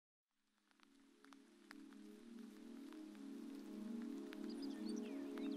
L'interno non verso l'esterno.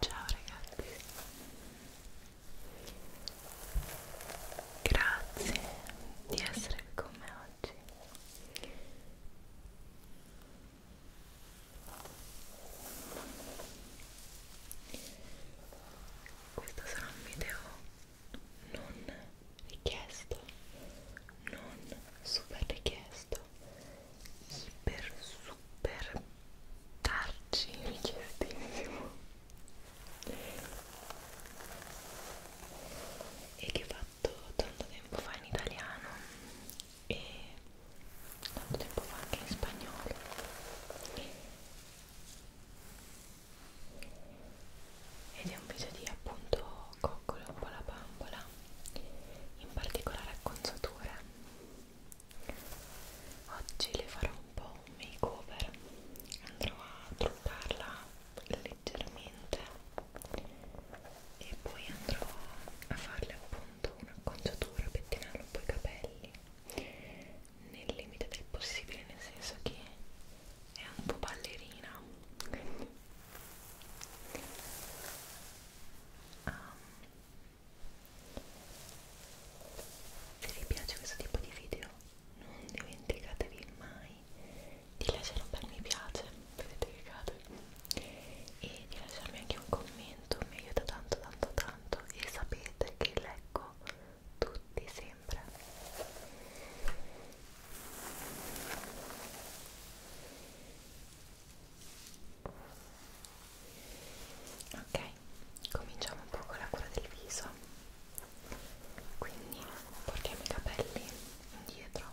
Ciao ragazzi, grazie di essere con me oggi questo sarà un video non richiesto non super richiesto iper super tarci richiestissimo e che va letto tanto tempo fa in italiano e tanto tempo fa anche in spagnolo ed è un video di appunto coccolo un po' la bambola in particolare acconzature oggi le farò un po' un makeover andrò a truccarla le leggermente e poi andrò a farle appunto un'acconciatura, pettinare un po' i capelli nel limite del possibile, nel senso che è un po' ballerina quindi um, ehm, se vi piace questo tipo di video non dimenticatevi mai di lasciare un bel mi piace vedete che cade e di lasciarmi anche un commento mi aiuta tanto tanto tanto e sapete che leggo tutti sempre ok cominciamo un po' con la cura del viso quindi portiamo i capelli indietro Ecco.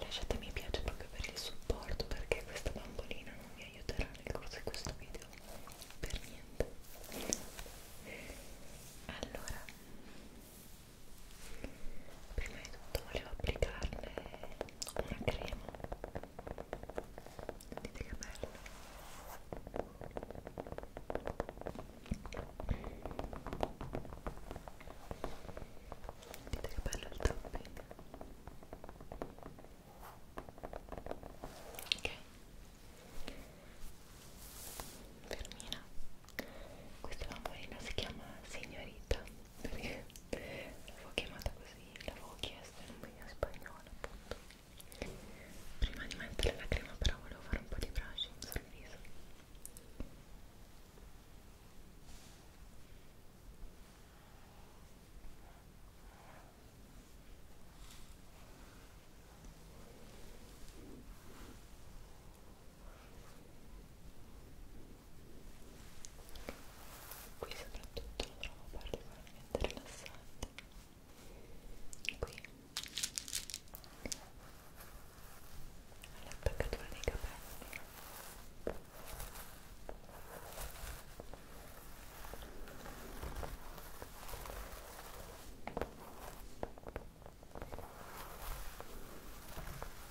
Lasciate mi piace proprio per il supporto perché questa bambolina non mi aiuterà nel corso di questo video per niente. Allora, prima di tutto volevo applicarle una crema vedete che bello vedete che bello il topping ok fermina questa bambolina si chiama signorita perché l'avevo chiamata così, l'avevo chiesta in un video spagnolo appunto prima di mettere la crema però volevo fare un po' di brushing sul viso ok qui soprattutto lo trovo particolarmente rilassante qui all'attaccatura dei capelli e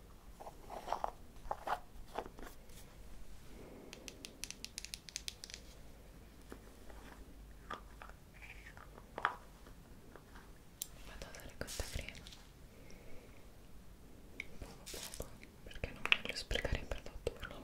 Vado a usare questa crema poco poco perché non voglio sprecare il prodotto per la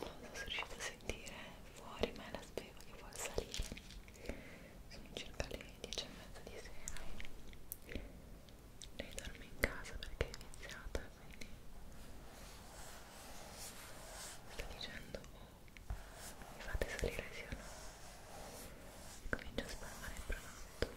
non so se riuscite a sentire fuori ma è la spiega che vuole salire sono circa le 10 e mezza di sera e lei dorme in casa perché è iniziata quindi sta dicendo oh, mi fate salire sì o no e comincio a spalmare il pranotto Io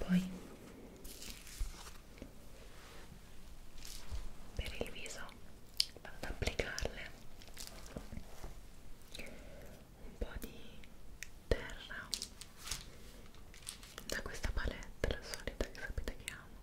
poi per il viso vado ad applicarle un po' di terra da questa palette la solita che sapete che amo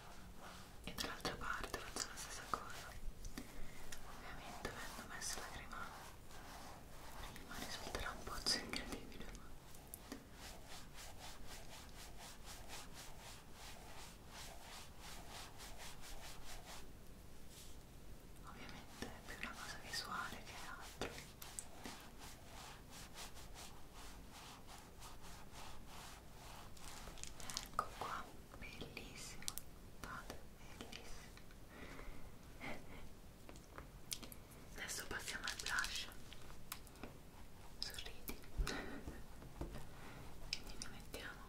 e dall'altra parte faccio la stessa cosa ovviamente avendo messo la crema prima risulterà un pozzo incredibile ma ovviamente è più una cosa visuale che altro ecco qua bellissimo guardate bellissimo adesso passiamo al blush sorridi quindi ne mettiamo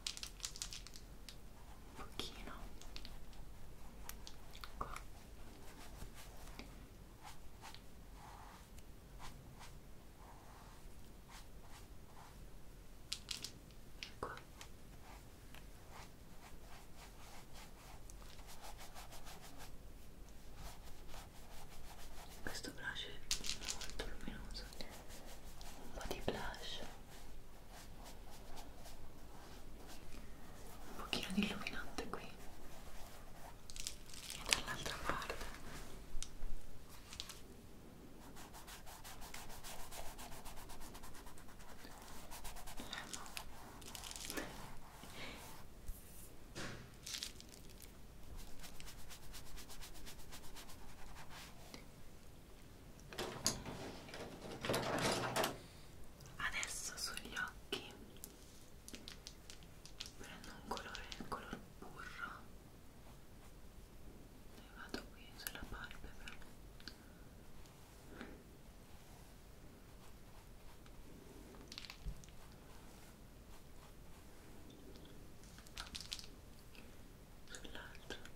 un pochino qua ecco questo blush è molto luminoso un po' di blush un pochino di illuminante qui e dall'altra parte Adesso sugli occhi prendo un colore, il color burro e vado qui sulla palpebra sull'altra ok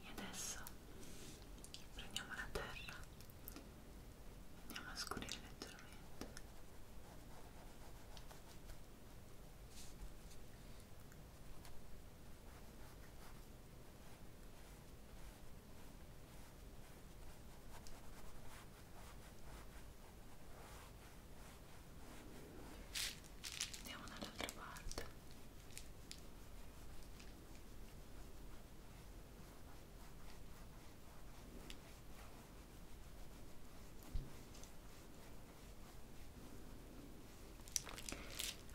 e adesso prendiamo la terra, andiamo a scurire leggermente. Ecco andiamo dall'altra parte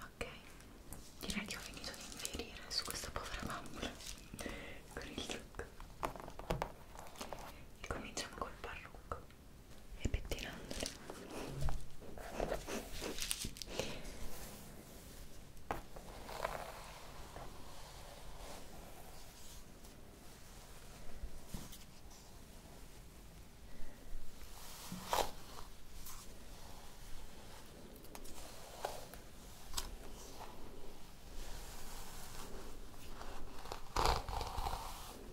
ok direi che ho finito di infierire su questa povera bambola con il trucco e cominciamo col parrucco e pettinandoli Ecco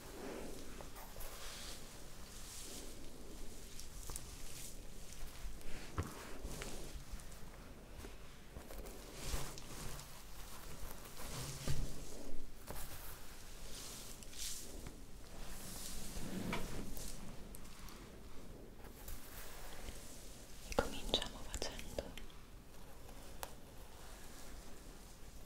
E cominciamo facendo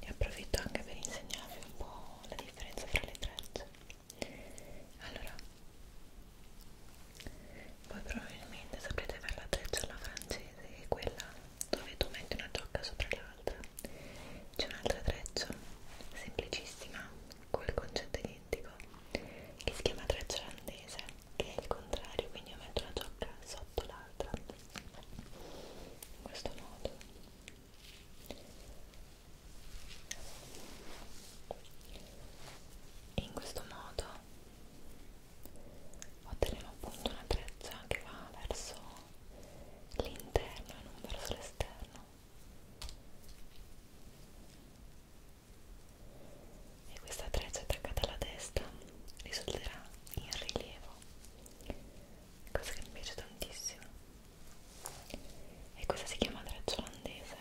Ne approfitto anche per insegnarvi un po' la differenza fra le trecce allora voi probabilmente saprete fare la treccia alla francese che è quella dove tu metti una giocca sopra l'altra c'è un'altra treccia semplicissima col concetto identico che si chiama treccia olandese che è il contrario quindi io metto una giocca sotto l'altra in questo modo e in questo modo otteniamo appunto una treccia che va verso l'interno e non verso l'esterno e questa treccia attaccata alla testa risulterà in rilievo cosa che mi piace tantissimo e questa si chiama treccia olandese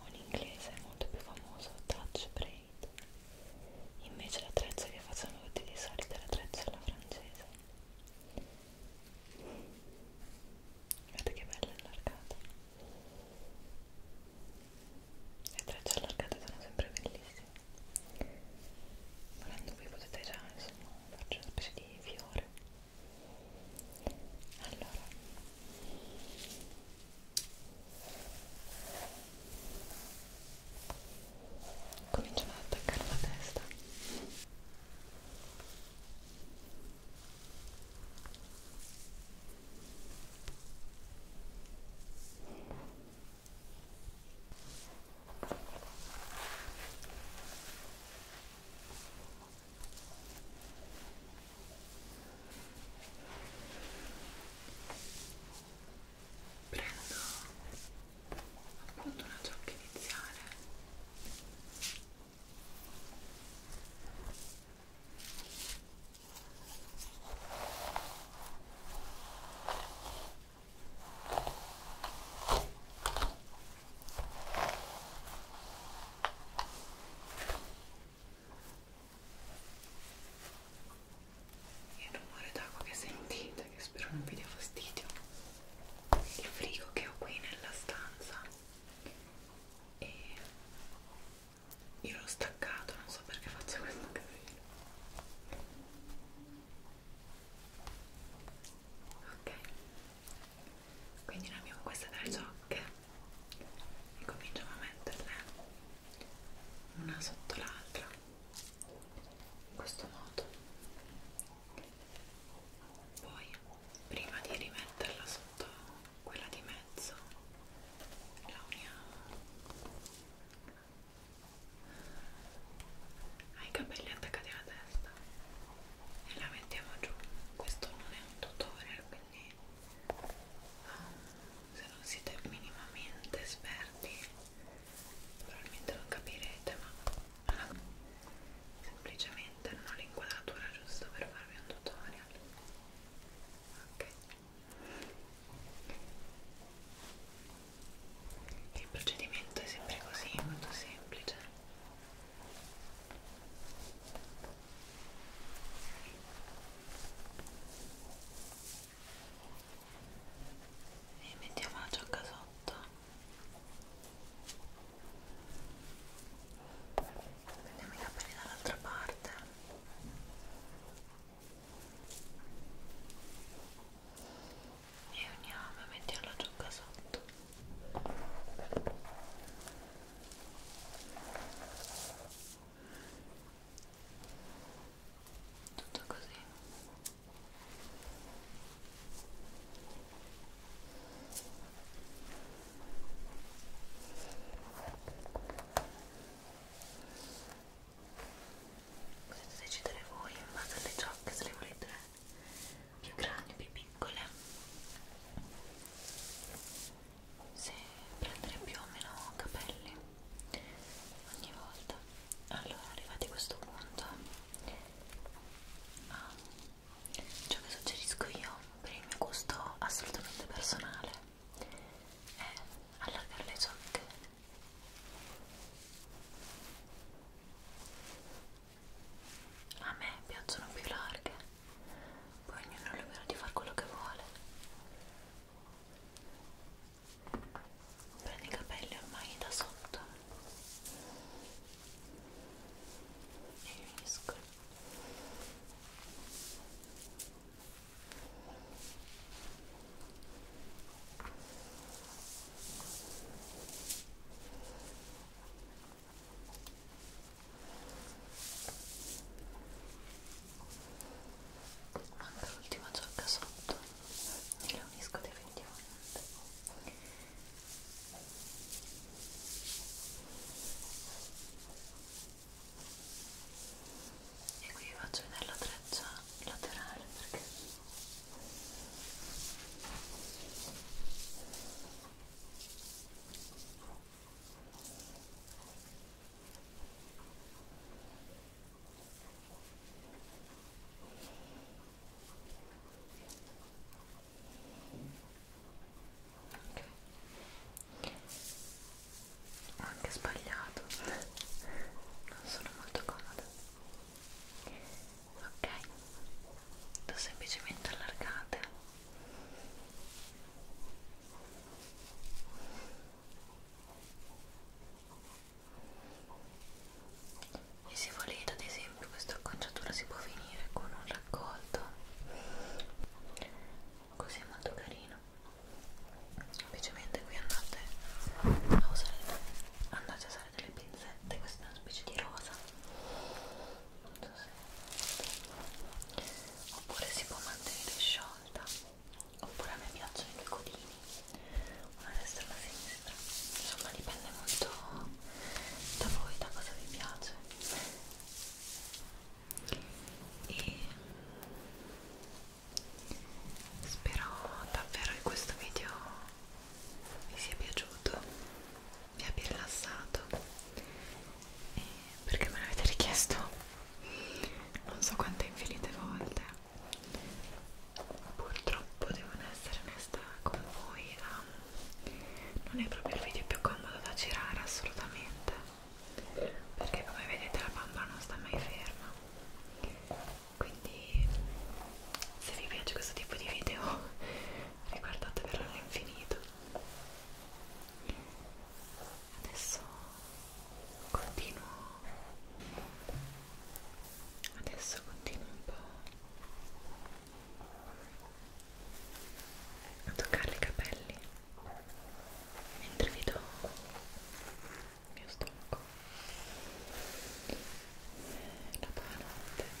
o in inglese è molto più famoso touch braid invece l'attrezzo che facciamo tutti di solito è l'attrezzo alla francese guardate che bella allargata le trecce allargate sono sempre bellissime volendo qui potete già insomma farci una specie di fiore allora cominciamo ad attaccare la testa ok prendo appunto una ciocca iniziale e il rumore d'acqua che sentite che spero non vi dia fastidio il frigo che ho qui nella stanza e io l'ho staccato non so perché faccio questo casino ok quindi noi abbiamo queste tre ciocche e cominciamo a metterle una sotto l'altra in questo modo poi prima di rimetterla sotto quella di mezzo la uniamo ai capelli attaccati alla testa e la mettiamo giù questo non è un tutorial quindi um, se non siete minimamente esperti probabilmente non capirete ma allora, ah, semplicemente non ho l'inquadratura giusta per farvi un tutorial ok il procedimento è sempre così molto semplice e mettiamo la giacca sotto prendiamo i capelli dall'altra parte e uniamo e mettiamola giù qua sotto tutto così potete decidere voi in base alle ciocche se le volete più grandi, più piccole se prendere più o meno capelli ogni volta allora arrivati a questo punto ah, ciò che suggerisco io per il mio gusto assolutamente personale è allargare le giocche a me piacciono più larghe poi ognuno è libero di fare quello che vuole prendi i capelli ormai da sotto e unisco Ecco manca l'ultima giorca sotto e la unisco definitivamente e qui faccio vedere la treccia laterale perché ho anche sbagliato, non sono molto comoda ok lo semplicemente allargate e se volete ad esempio questa acconciatura si può finire con un raccolto così è molto carino semplicemente qui andate a usare andate a usare usare delle pinzette, questa è una specie di rosa non so se... oppure si può mantenere sciolta oppure a me piacciono i due codini una a destra e una a sinistra insomma dipende molto da voi, da cosa vi piace e spero davvero che questo video vi sia piaciuto, vi abbia rilassato e perché me l'avete richiesto non so quante infinite volte purtroppo devo essere onesta con voi um, non è proprio il video più comodo da girare assolutamente perché come vedete la bambola non sta mai ferma quindi se vi piace questo tipo di video e guardate verrà all'infinito adesso continuo adesso continuo un po' a toccare i capelli mentre vi do il mio stomaco la buonanotte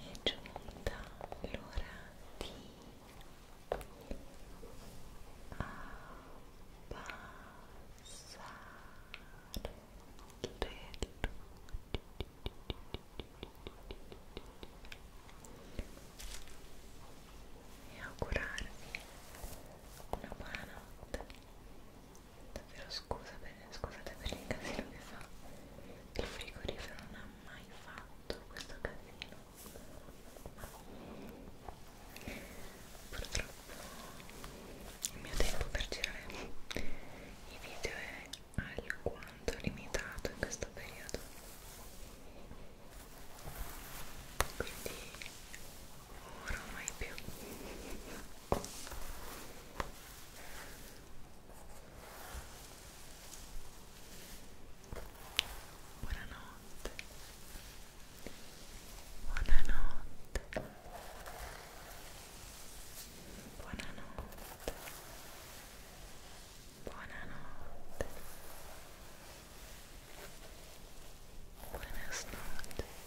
è giunta l'ora di abbassare le e augurarvi una buona notte davvero scusa per, scusate per il casino che fa il frigorifero non ha mai fatto questo casino purtroppo il mio tempo per girare i video è alquanto limitato in questo periodo quindi ora mai più buonanotte buonanotte buonanotte buonanotte Buenas noches.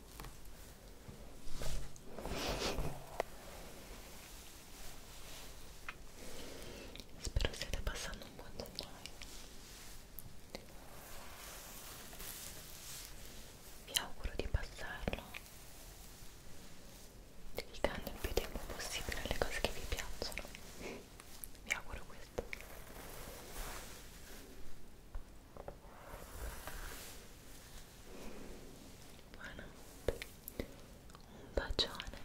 Spero stiate passando un buon gennaio. Vi auguro di passarlo dedicando il più tempo possibile alle cose che vi piacciono. Vi auguro questo. Buonanotte. Un bacione.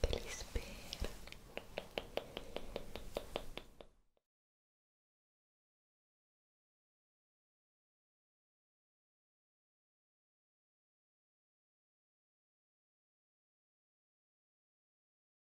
Te li spero.